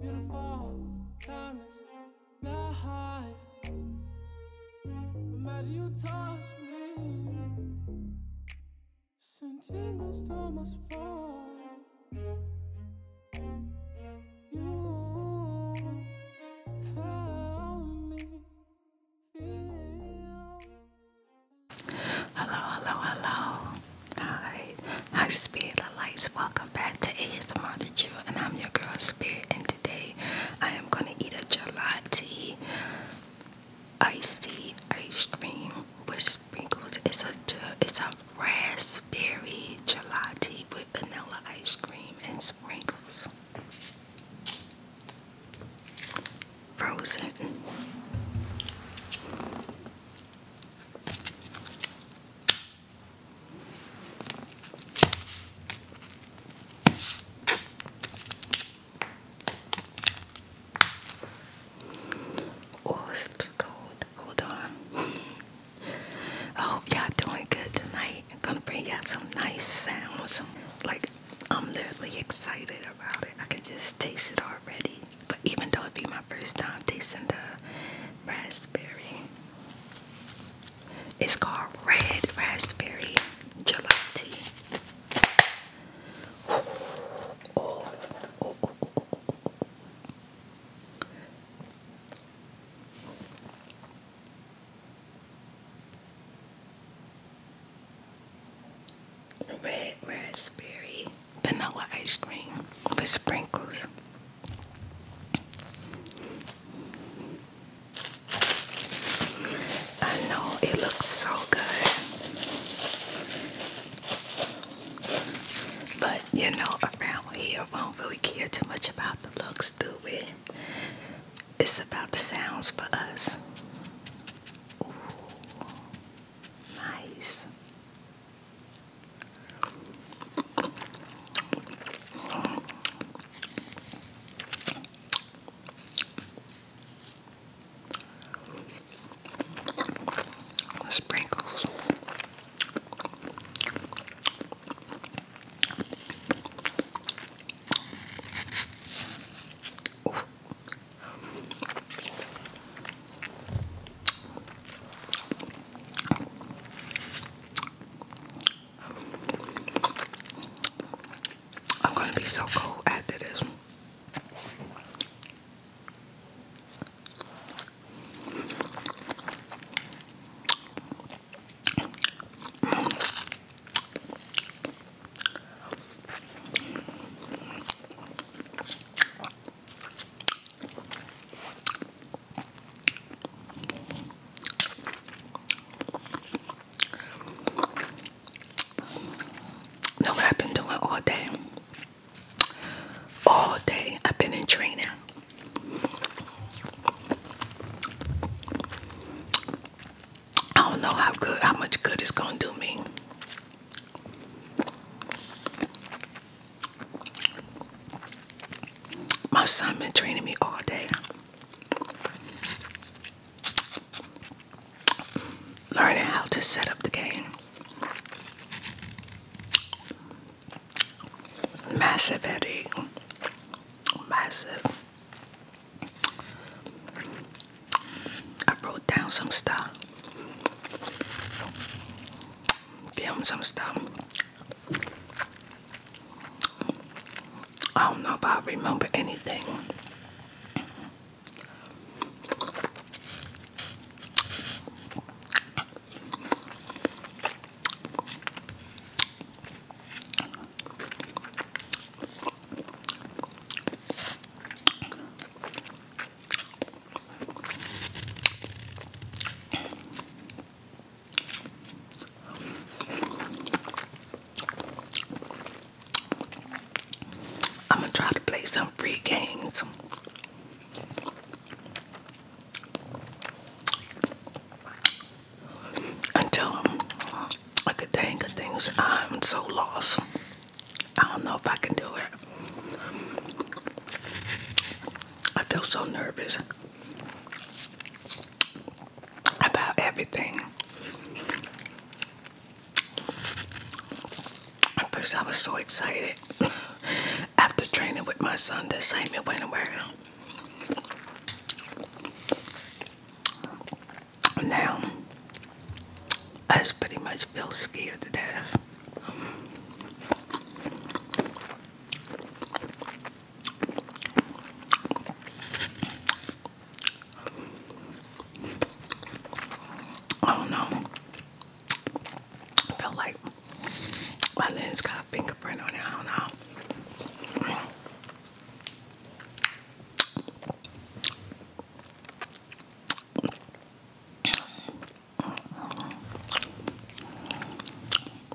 Beautiful, timeless, life. Imagine you touch You help me Hello, hello, hello. All right. High speed of lights. Welcome back to ASMR and I'm your girl Spirit. And today I am gonna eat a gelati icy ice cream with sprinkles. It's a it's a raspberry gelati with vanilla ice cream and sprinkles. Frozen. Oh, it's too cold. Hold on. I hope y'all doing good tonight. I'm gonna bring y'all some nice sounds. Like I'm literally excited about it. I can just taste it already. But even though it'd be my first time tasting the raspberry. It's called Red Raspberry Gelati. Red raspberry vanilla ice cream with sprinkles. I know it looks so good, but you know, around here, we don't really care too much about the looks, do we? It's about the sounds for us. nice. The sprinkles. Ooh. I'm gonna be so cool after this. Know what I've been doing all day? All day I've been in training. I don't know how good, how much good it's gonna do me. My son been training me all day. Learning how to set up the game. Massive headache. Massive. I wrote down some stuff. Filmed some stuff. I don't know if I remember anything. I'm gonna try to play some free games. Until I could think of things, I'm so lost. I don't know if I can do it. I feel so nervous about everything. At first, I was so excited after training with my son. The excitement went away. Now, I pretty much feel scared to death. Oh, I don't know. felt like my lens got a fingerprint on it. I don't know.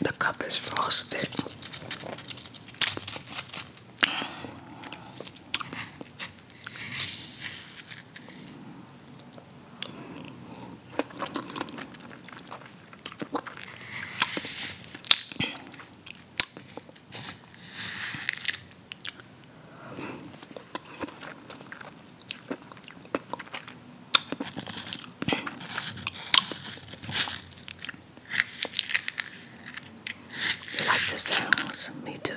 The cup is frosted. You like the sounds? Me too.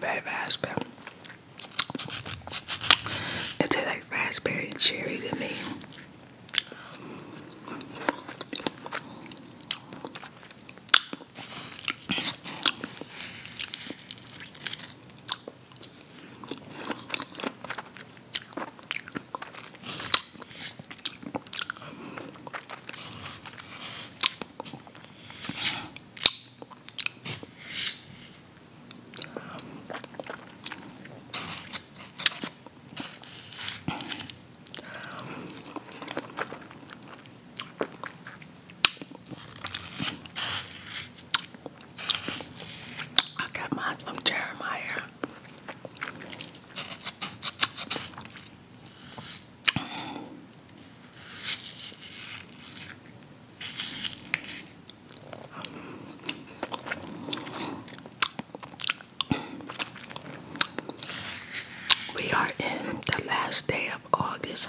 very raspberry. It tastes like raspberry and cherry to me. I got mine from Jeremiah. We are in the last day of August.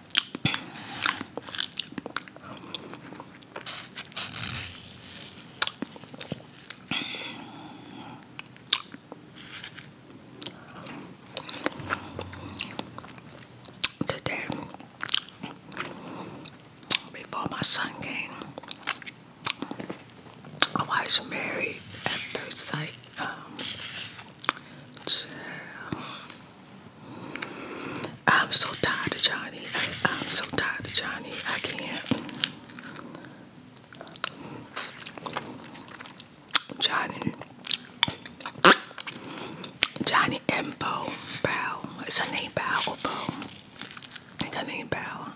Today, before my son came, I was married at first sight. Um, I'm so tired of Johnny. I'm so tired of Johnny. I can't. Johnny. Johnny and Bo. Bow. Is her name Bow Bo? I think her name Bow.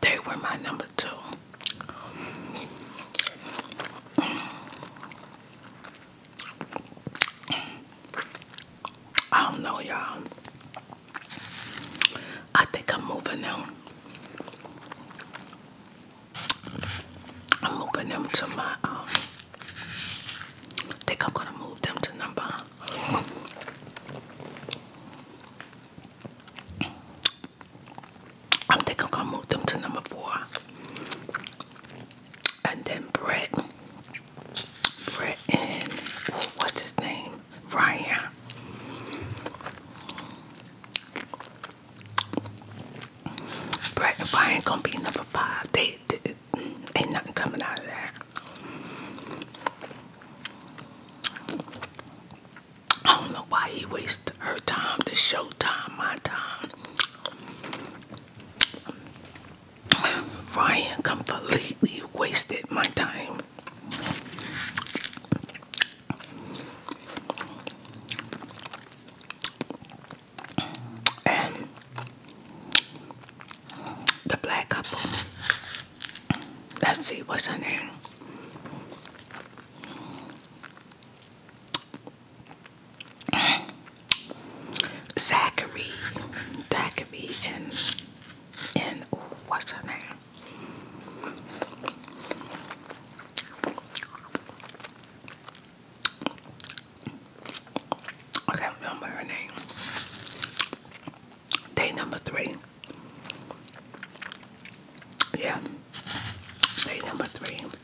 They were my number two. I don't know, y'all. I think I'm moving them. I'm moving them to my, I um, think I'm gonna move them to number I'm thinking I'm gonna move them to number four. And then Brett, Brett and what's his name? Ryan. Brett and Ryan gonna be number five. They, they ain't nothing coming out of that. I don't know why he wasted her time, to show time, my time. Ryan completely wasted my time. And the black couple. Let's see what's her name. Zachary, Zachary, and and what's her name? I can't remember her name. Day number three. Yeah. Day number three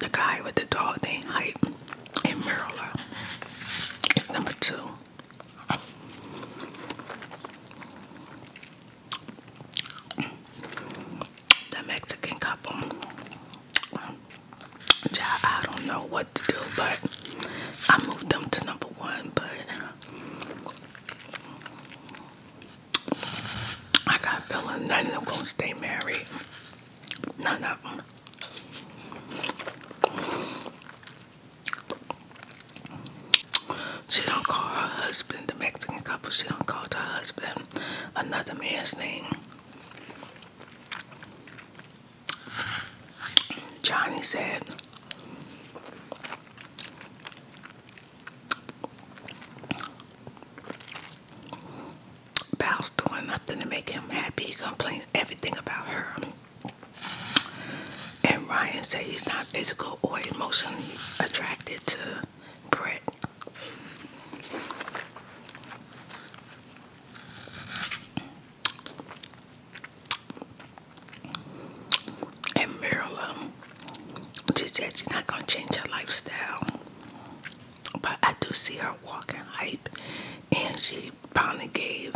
the guy with the dog named Hype in Maryland is number two. The Mexican couple Child, I don't know what to do, but I moved them to number one. But I got a feeling none of them gonna stay married. None of them. She don't call her husband the Mexican couple. She don't call her husband another man's thing. Johnny said, Val's doing nothing to make him happy. He complains everything about her. And Ryan said he's not physical or emotionally attracted to Brett. And Marilyn, she said she's not gonna change her lifestyle, but I do see her walking hype, and she finally gave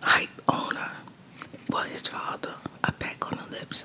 hype owner, well his father, a peck on the lips.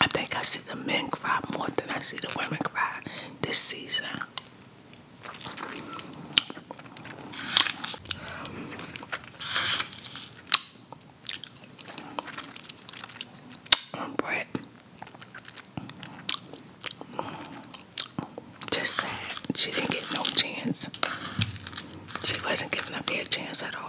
I think I see the men cry more than I see the women cry this season. Um, just sad she didn't get no chance she wasn't giving up their chance at all.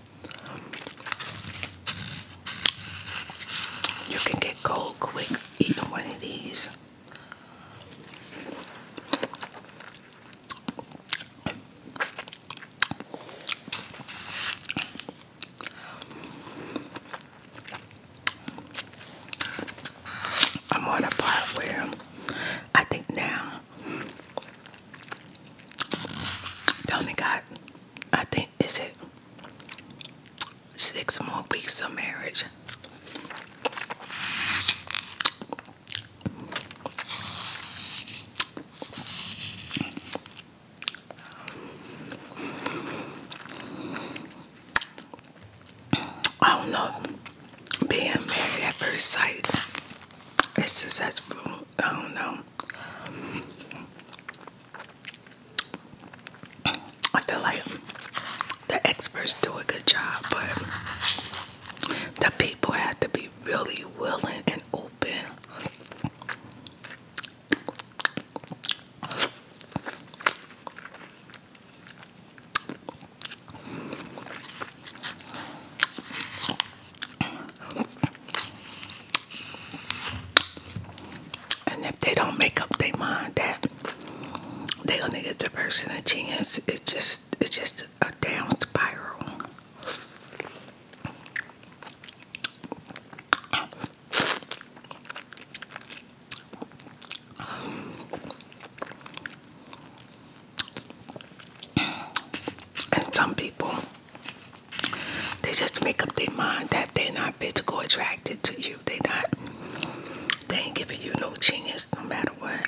You can get cold quick eating one of these. I'm on a part where I think now only got, I think, is it six more weeks of marriage? I don't know. Being married at first sight is successful. I don't know. I feel like the experts do a good job, but the people have to be really willing and open. And if they don't make up their mind that they're gonna give the person a chance, it's just it's just a damn spiral. And some people they just make up their mind that they're not physical attracted to you. They not. They ain't giving you no chance, no matter what.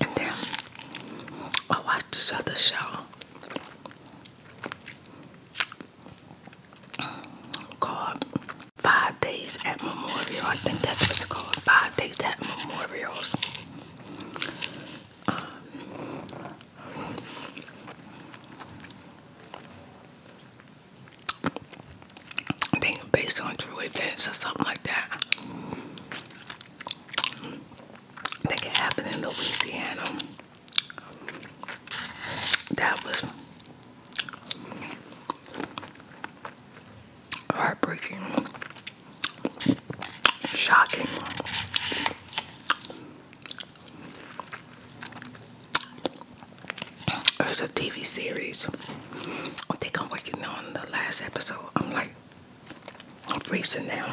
And I watched this other show called Five Days at Memorial. I think that's what's it's called. Five Days at Memorials. Um, I think based on true events or something like that. I think it in Louisiana. That was heartbreaking, shocking. It was a TV series. I think I'm working on the last episode. I'm like, I'm freezing now.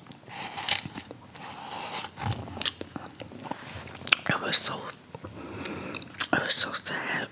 I was so I was so sad.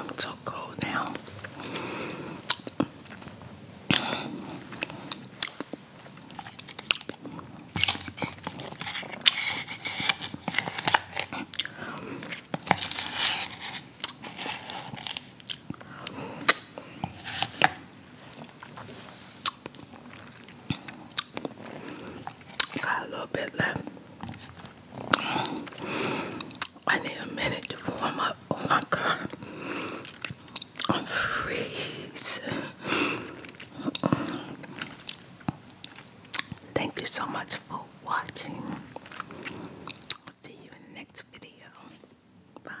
I'm so cold now a little bit left. I need a minute to warm up. Oh my god. I'm freezing. Thank you so much for watching. See you in the next video. Bye.